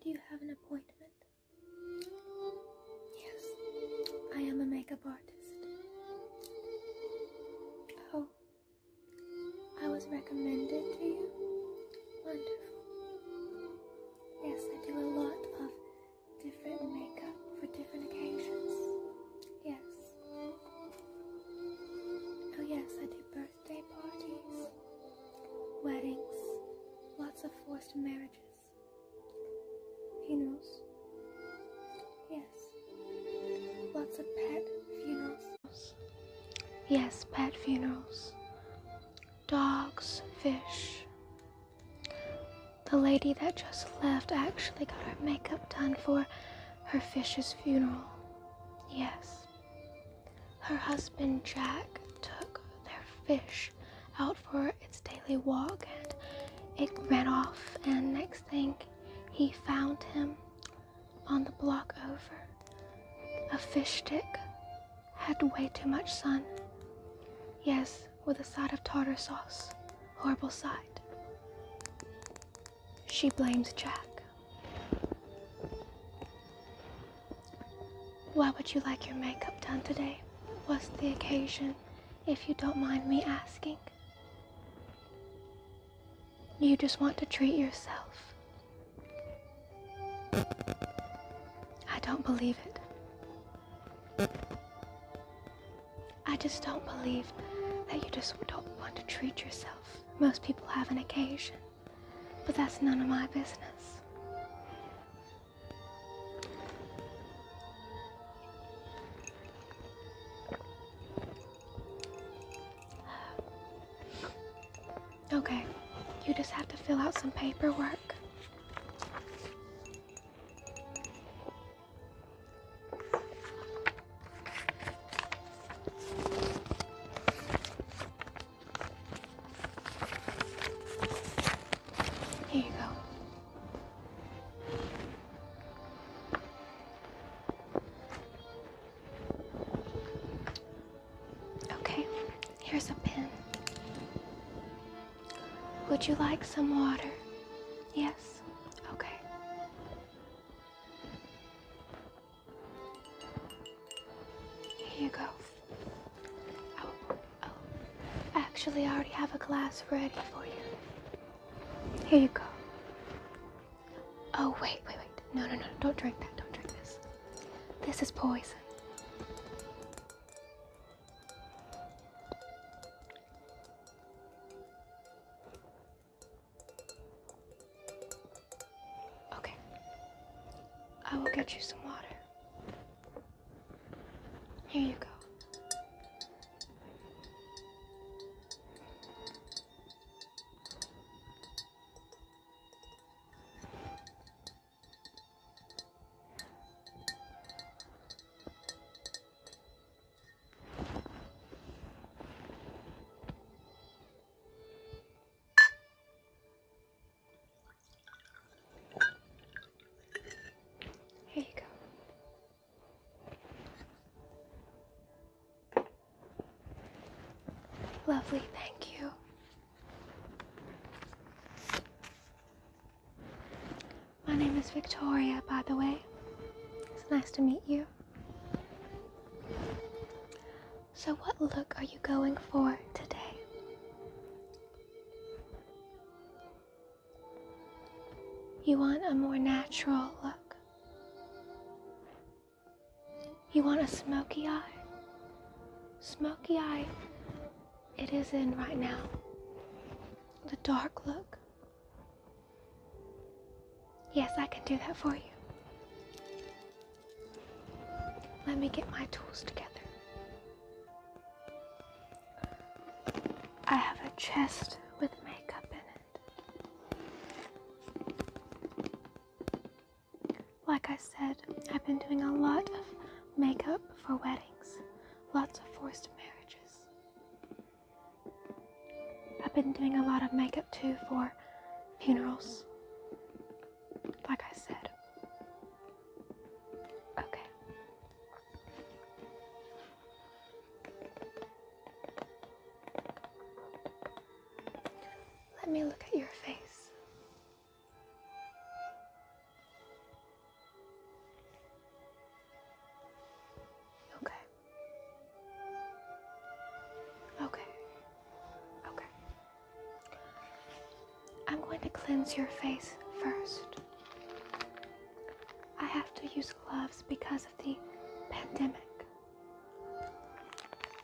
Do you have an appointment? Yes, I am a makeup artist. Oh, I was recommended to you? Wonderful. Yes, I do a lot of different makeup for different occasions. Yes. Oh yes, I do birthday parties, weddings, lots of forced marriages, funerals. Yes. Lots of pet funerals. Yes, pet funerals dogs, fish. The lady that just left actually got her makeup done for her fish's funeral. Yes. Her husband Jack took their fish out for its daily walk and it ran off, and next thing he found him on the block over. A fish stick had way too much sun. Yes, with a side of tartar sauce. Horrible side. She blames Jack. Why would you like your makeup done today? What's the occasion, if you don't mind me asking? You just want to treat yourself. I don't believe it. I just don't believe that you just don't want to treat yourself. Most people have an occasion, but that's none of my business. Okay, you just have to fill out some paperwork. Here you go. Okay, here's a pen. Would you like some water? Yes? Okay. Here you go. Oh, oh. Actually, I already have a glass ready for you. Here you go. Oh, wait, wait, wait. No, no, no. Don't drink that. Don't drink this. This is poison. Okay. I will get you some water. Here you go. Here you go. Lovely, thank you. My name is Victoria, by the way. It's nice to meet you. So, what look are you going for today? You want a more natural look. You want a smoky eye? Smoky eye, it is in right now. The dark look. Yes, I can do that for you. Let me get my tools together. I have a chest with makeup in it. Like I said, I've been doing a lot of makeup for weddings, lots of forced marriages. I've been doing a lot of makeup too for funerals. Like I said. Okay. Let me look at your face. Okay. Okay. Okay. I'm going to cleanse your face first. I have to use gloves because of the pandemic.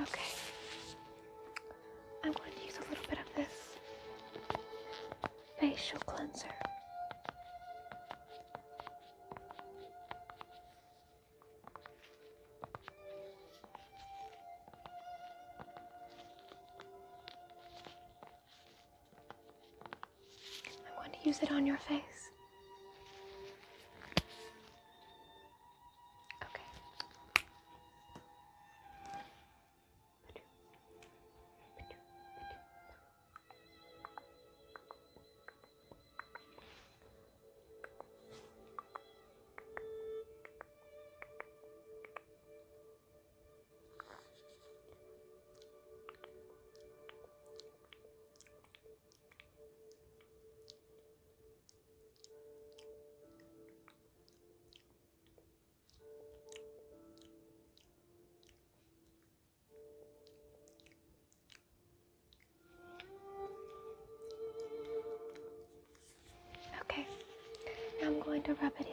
Okay. I'm going to use a little bit of this facial cleanser. I'm going to use it on your face. Okay. Okay, now I'm going to rub it in.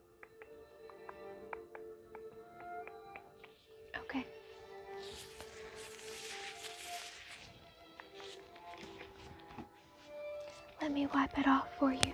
Okay. Let me wipe it off for you.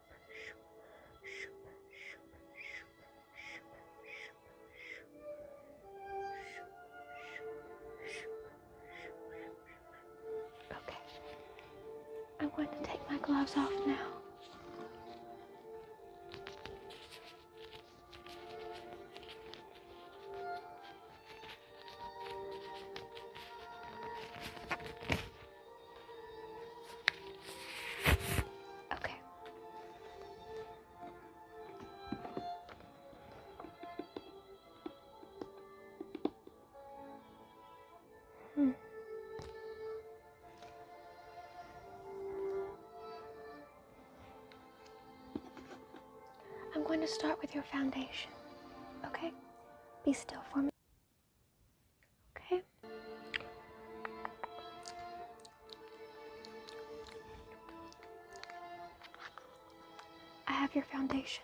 Okay. I'm going to take my gloves off now. Okay. Hmm. I'm going to start with your foundation. Okay? Be still for me. Okay. I have your foundation.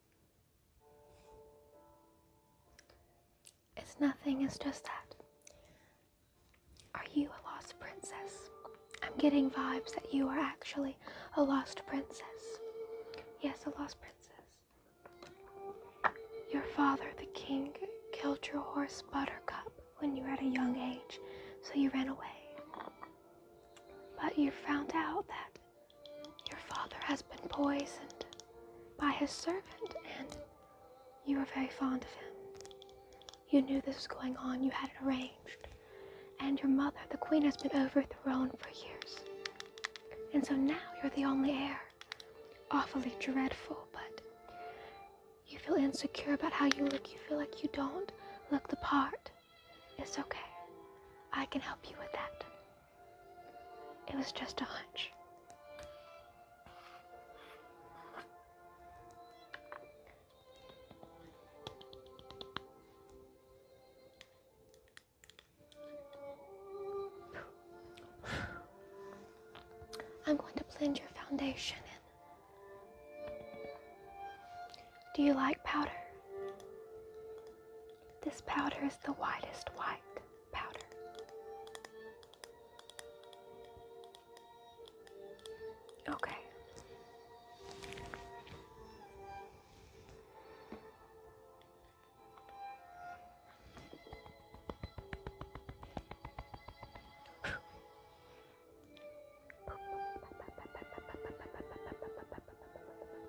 It's nothing, it's just that. Are you a lost princess? I'm getting vibes that you are actually a lost princess. Yes, a lost princess. Your father, the king, killed your horse Buttercup when you were at a young age, so you ran away. But you found out that your father has been poisoned by his servant, and you were very fond of him. You knew this was going on, you had it arranged. And your mother, the queen, has been overthrown for years. And so now you're the only heir. Awfully dreadful, but you feel insecure about how you look. You feel like you don't look the part. It's okay. I can help you with that. It was just a hunch. I'm going to blend your foundation in. Do you like powder? This powder is the whitest white powder. Okay.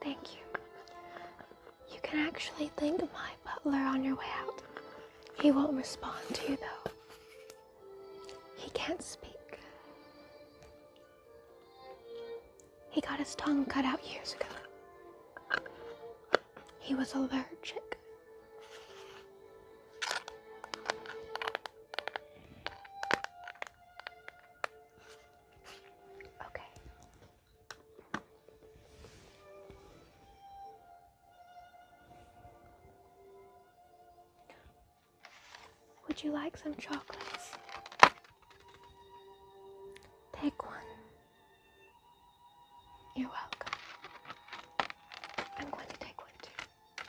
Thank you. You can actually thank my butler on your way out. He won't respond to you, though. He can't speak. He got his tongue cut out years ago. He was allergic. Okay. Would you like some chocolates? Take one. You're welcome. I'm going to take one too.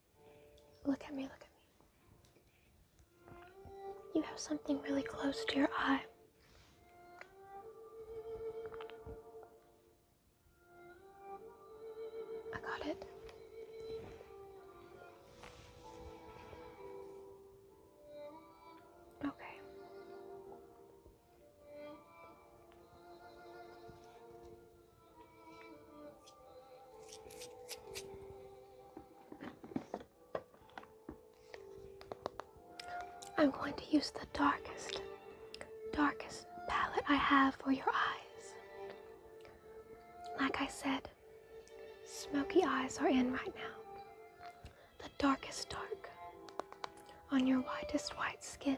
Look at me, look at me. You have something really close to your eye. I got it. Okay. I'm going to use the darkest, darkest palette I have for your eyes. Like I said, smoky eyes are in right now. The darkest dark on your whitest white skin.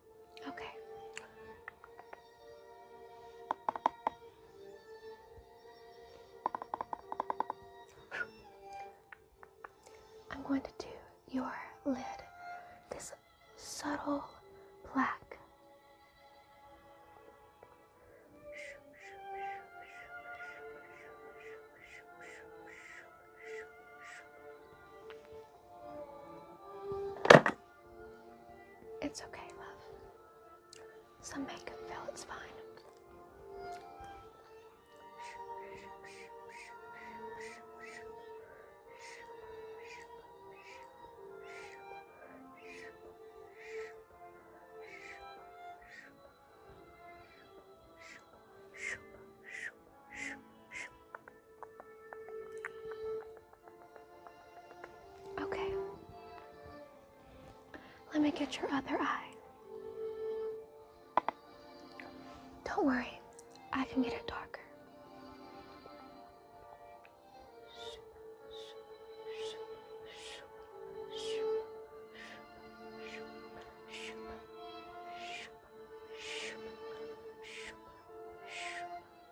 Okay. I'm going to do your lid this subtle black. It's okay, love. Some makeup fell, it's fine. Okay. Let me get your other eye. Don't worry, I can get it darker.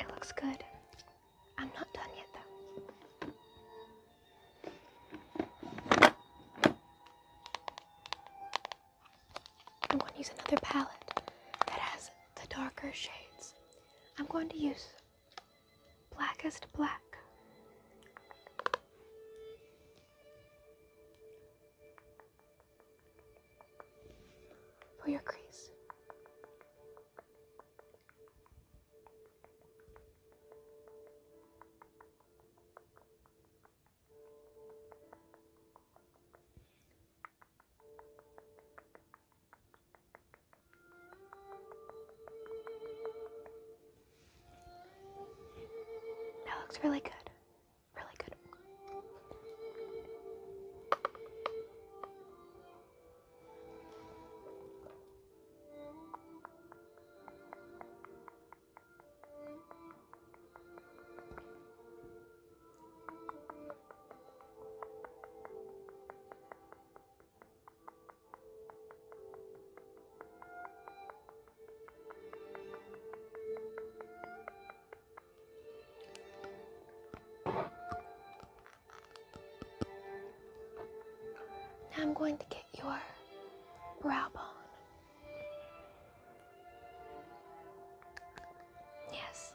It looks good. I'm not done yet, though. I'm going to use another palette that has the darker shades. I'm going to use blackest black. For your crease. That looks really good. Really good. Now I'm going to get your brow bone. Yes.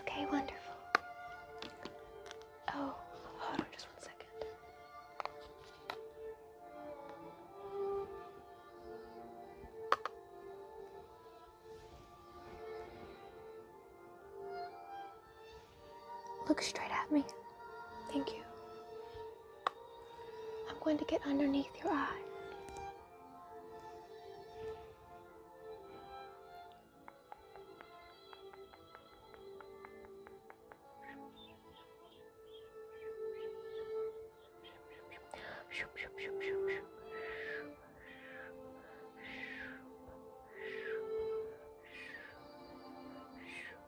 Okay, wonderful. Oh, hold on just one second. Look straight at me. Thank you. I'm going to get underneath your eye.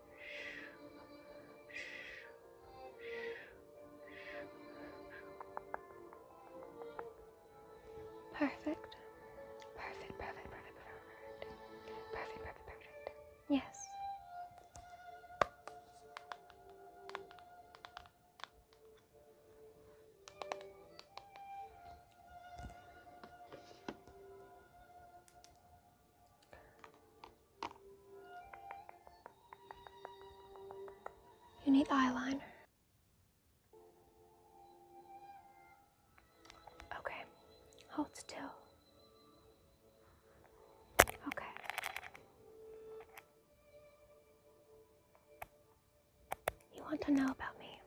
Perfect. Perfect, perfect, perfect, perfect. Perfect, perfect, perfect. Yes. You need eyeliner. Okay, hold still. Okay. You want to know about me?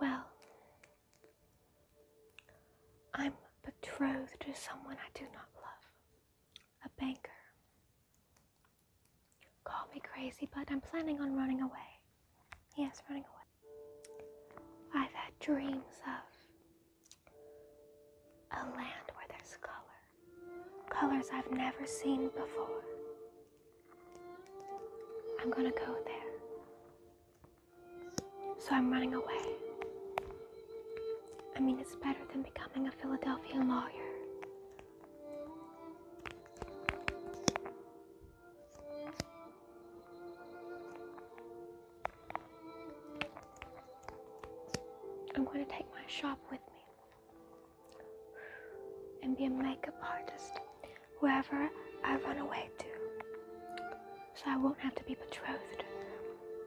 Well, I'm betrothed to someone I do not love, a banker. Call me crazy, but I'm planning on running away. Yes, running away. I've had dreams of a land where there's color, colors I've never seen before. I'm gonna go there. So I'm running away. I mean, it's better than becoming a Philadelphia lawyer. I'm going to take my shop with me and be a makeup artist wherever I run away to, so I won't have to be betrothed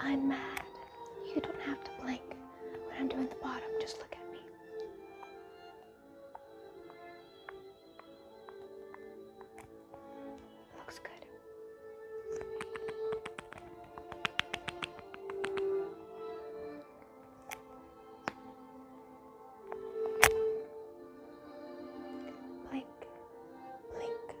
I'm mad. You don't have to blink. When I'm doing the bottom, just look at me. Looks good. Blink, blink,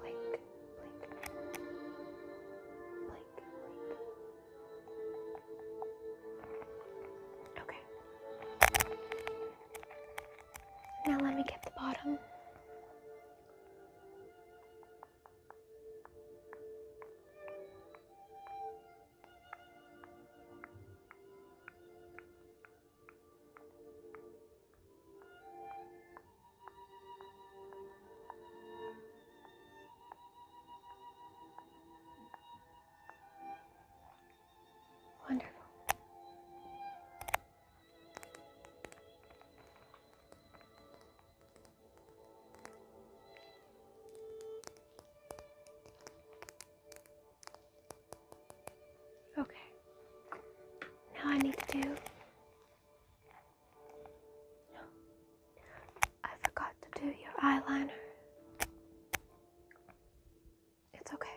blink, blink, blink, blink. Okay. Now let me get the bottom. Wonderful. Okay. Now I need to do I forgot to do your eyeliner. It's okay.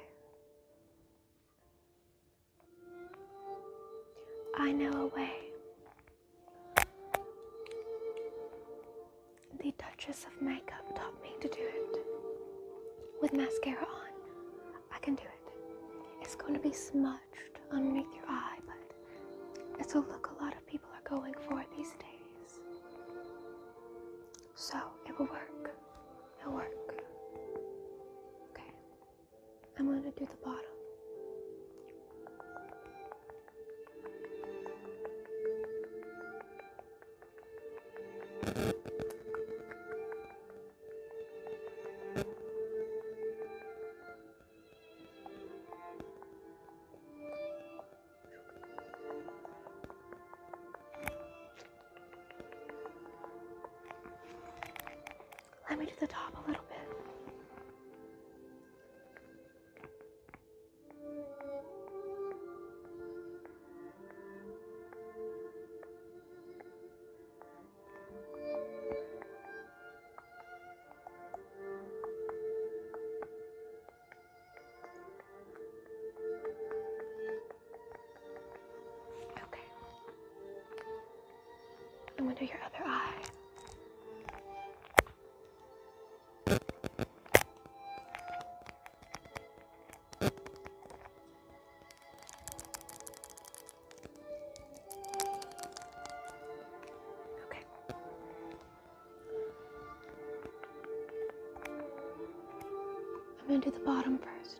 I know a way. The Duchess of Makeup taught me to do it. With mascara on, I can do it. It's going to be smudged underneath your eye, but it's a look a lot of people are going for these days. So it will work. It'll work. Okay. I'm going to do the bottom. Let me do the top a little bit. Okay. I'm under your other eye. Okay. I'm going to do the bottom first.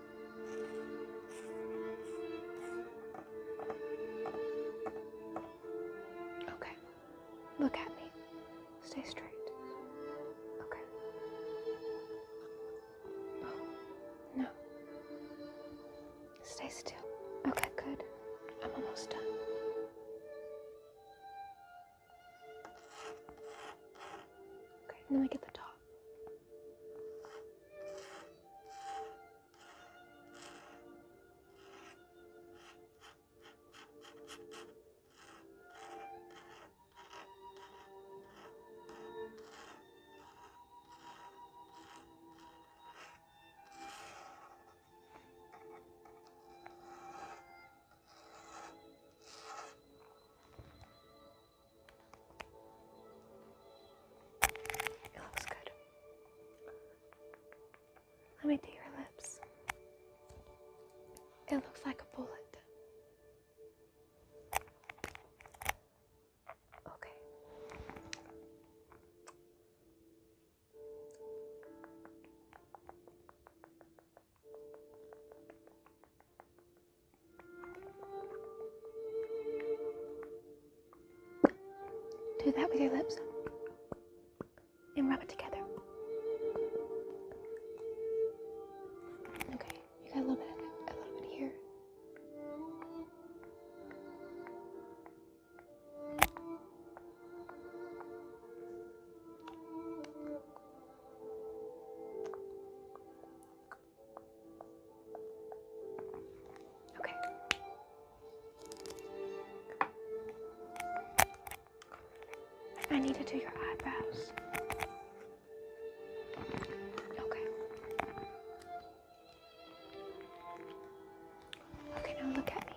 Okay. Look at me. Stay straight. Okay. Oh, no. Stay still. Okay, good. I'm almost done. Okay, Then I get the top. It looks good. Let me do your lips. It looks like a bullet. Okay. Do that with your lips and rub it together. Okay, you got a little bit of it, a little bit here. Okay. I need to do your eyebrows. Okay. Okay, now look at me.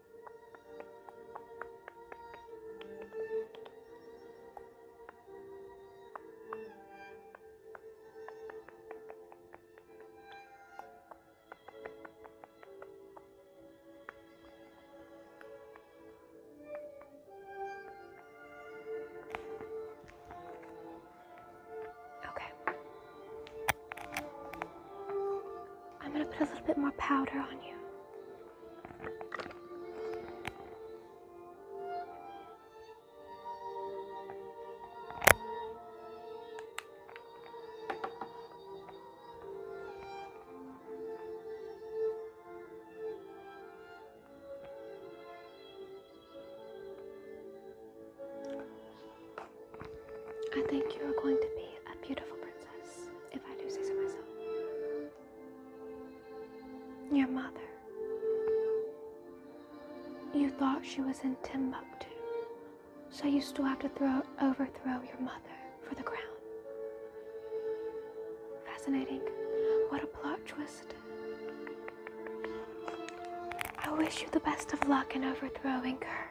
Okay. I'm going to put a little bit more powder on you. I think you are going to be a beautiful princess if I do say so myself. Your mother. You thought she was in Timbuktu, so you still have to throw, overthrow your mother for the crown. Fascinating. What a plot twist. I wish you the best of luck in overthrowing her.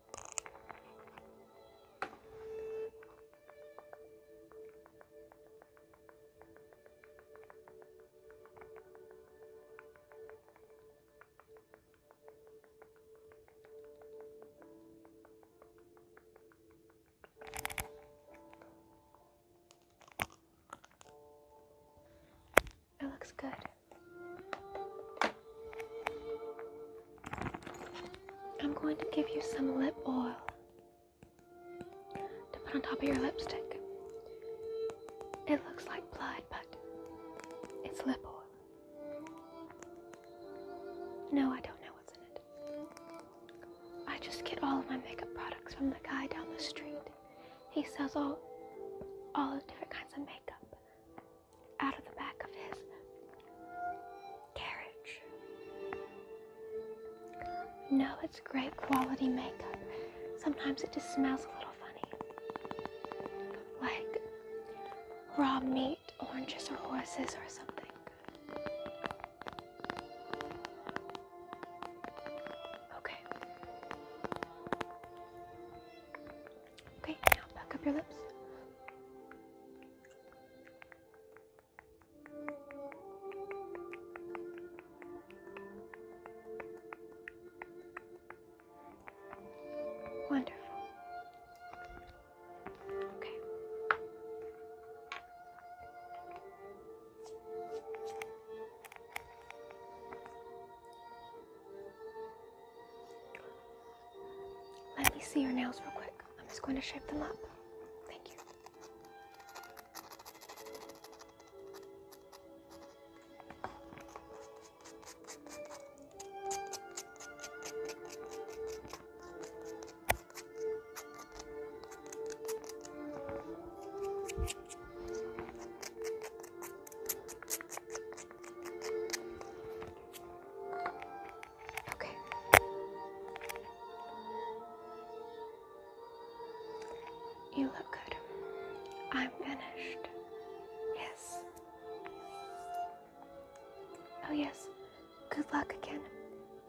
It looks good. I'm going to give you some lip oil to put on top of your lipstick. It looks like blood, but it's lip oil. No, I don't know what's in it. I just get all of my makeup products from the guy down the street. He sells all all different kinds of makeup out of the back of his carriage. No, it's great quality makeup. Sometimes it just smells a little funny. Like raw meat, oranges, or horses, or something. Okay. Okay, now back up your lips. Wonderful. Okay. Let me see your nails real quick. I'm just going to shape them up. Thank you. Okay. You look good. I'm finished. Yes. Oh, yes. Good luck again.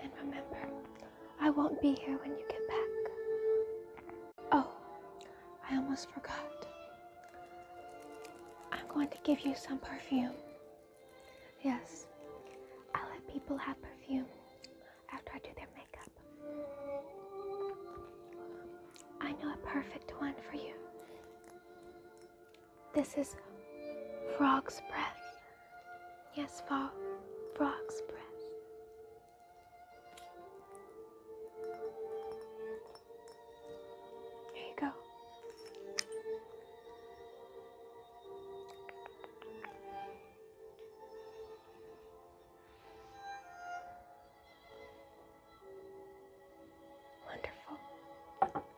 And remember, I won't be here when you get back. Oh, I almost forgot. I'm going to give you some perfume. Yes, I let people have perfume after I do their makeup. I know a perfect one for you. This is frog's breath. Yes, frog, frog's breath. There you go. Wonderful.